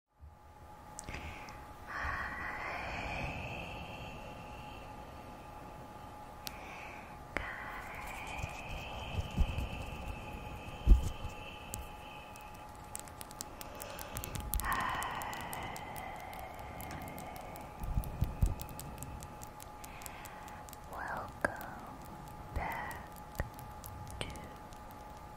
Welcome back to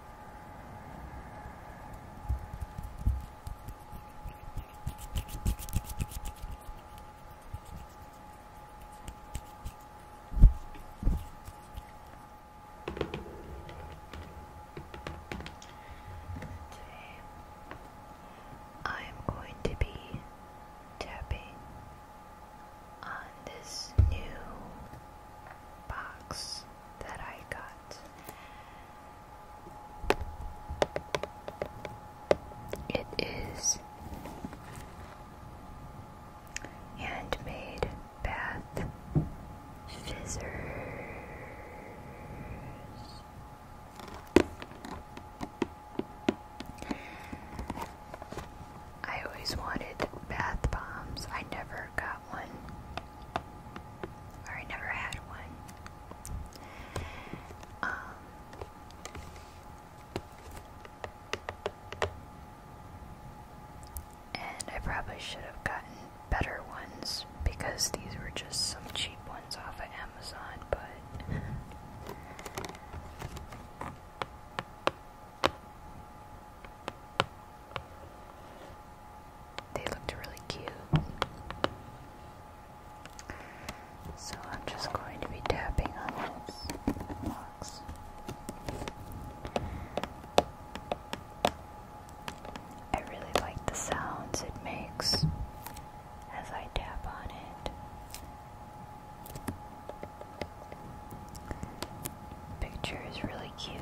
Today, I am going to be tapping on this new box that I got. It is handmade bath fizzers. I always wanted bath bombs. I never got one. I never had one. Um, and I probably should have gotten better ones because these were just some cheap ones off of Amazon, but they looked really cute. So I'm just going to be tapping on this box. I really like the sounds it makes as I tap on it. Picture is really cute.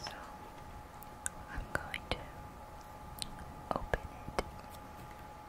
So I'm going to open it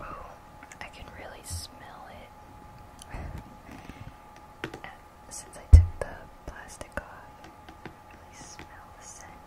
Oh, I can really smell it. Uh, since I took the plastic off, I really smell the scent.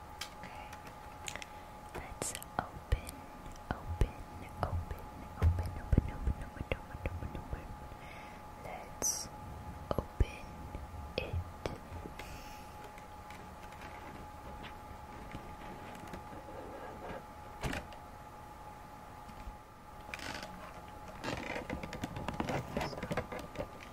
Let's open, open, open, open, open, open, open, open, open, Let's open it.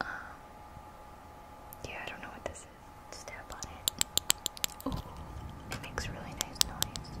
um, yeah, I don't know what this is. Step on it. Ooh, it makes really nice noise.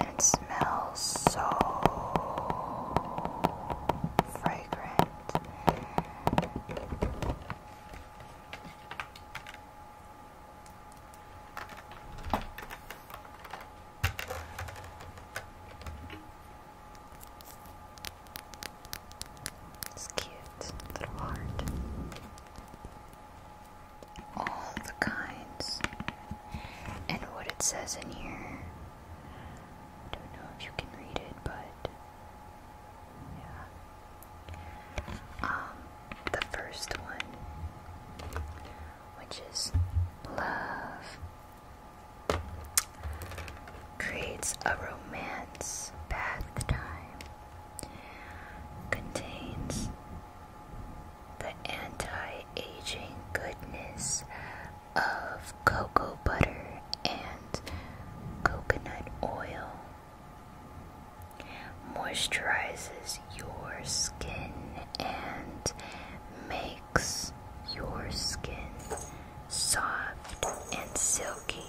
It smells so fragrant. It's cute, little heart all the kinds and what it says in here. Don't know if you can read it, but yeah. Um, the first one, which is love, creates a romance bath time contains the anti-aging goodness of cocoa butter and coconut oil. Moisturizes your skin and makes your skin soft and silky.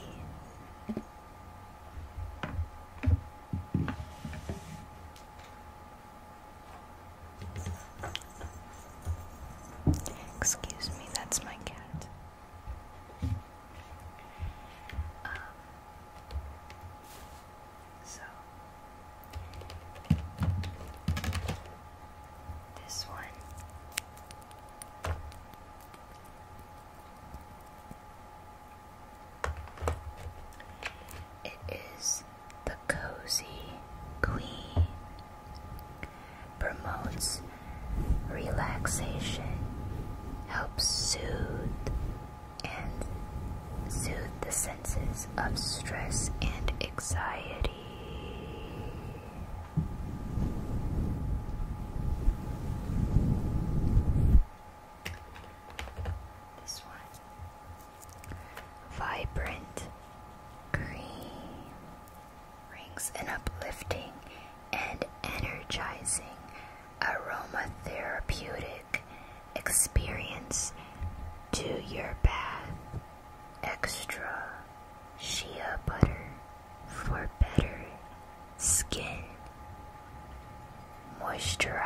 Excuse me, that's my cat. Um, so this one. It is the cozy queen. Promotes relaxation, helps soothe and soothe the senses of stress and anxiety. Vibrant green. Brings an uplifting and energizing aromatherapeutic experience to your bath. Extra shea butter for better skin moisturized.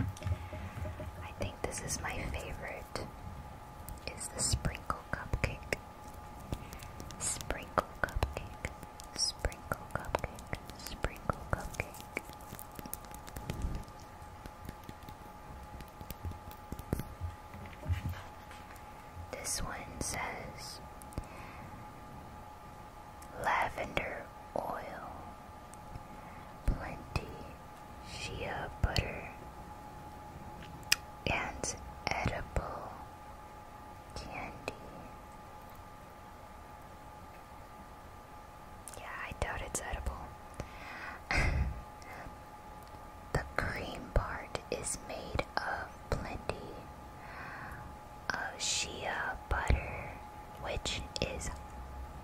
I think this is my favorite. Is the sprinkle cupcake. Sprinkle cupcake. Sprinkle cupcake. Sprinkle cupcake. This one says lavender oil, plenty shea butter, and edible candy. Yeah, I doubt it's edible. the cream part is made of plenty of shea butter, which is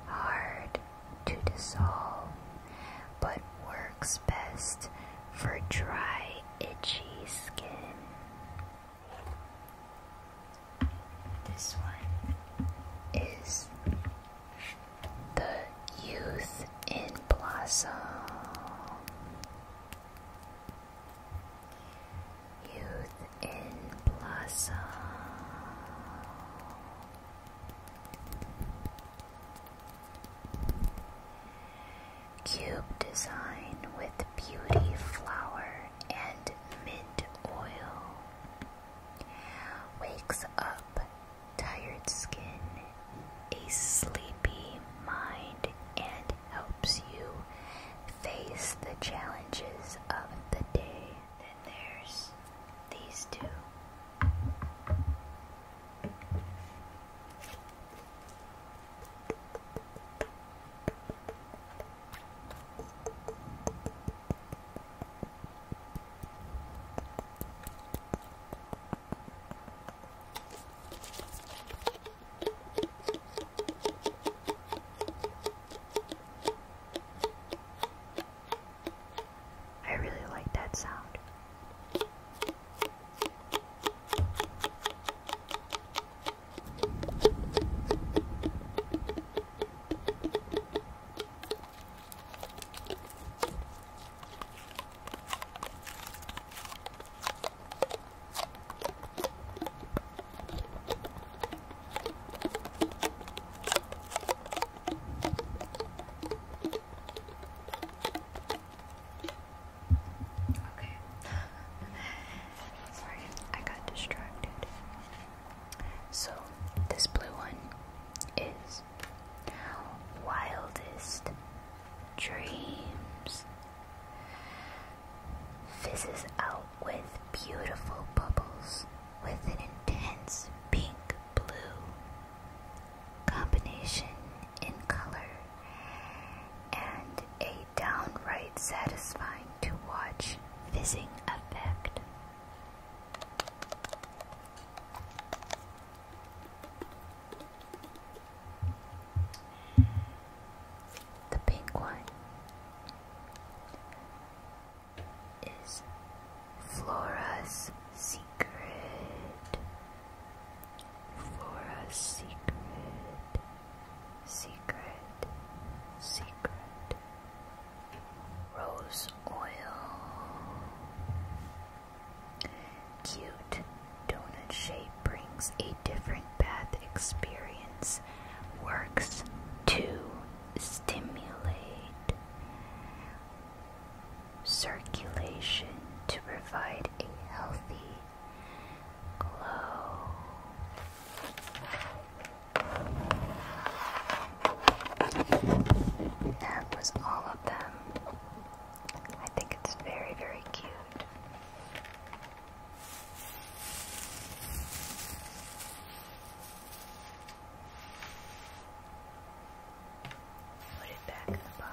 hard to dissolve, but works best for dry, itchy skin. This one is the youth in blossom. Youth in Blossom. Cube design with beauty flower and mint oil. Wakes up tired skin, a sleepy mind, and helps you face the challenges of the day. Then there's these two. I really like that sound. Okay. Sorry, I got distracted. So, this blue one is Wildest Dreams. Fizzes out with beautiful bubbles with an intense pink blue combination in color and a downright satisfying to watch fizzing effect. The pink one is Flora's Secret. Flora's Secret. Secret. Secret. Rose oil. Cute donut shape brings a different bath experience works to stimulate circulation to provide a healthy glow. That was all of them. I think it's very, very cute. Put it back in the box.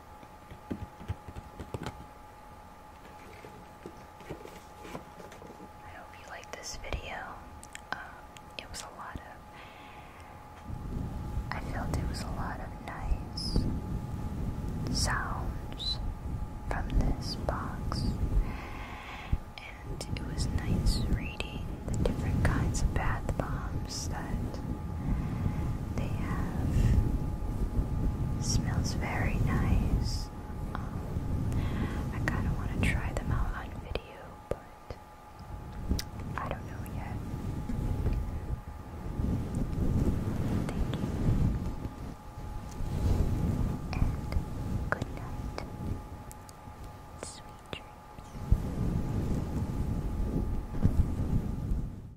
I hope you liked this video. Um, it was a lot of. I felt it was a lot of nice sounds from this box, and it was nice reading the different kinds of bath bombs that plant. They have smells very nice. Um, I kind of want to try them out on video, but I don't know yet. Thank you. And good night. Sweet dreams.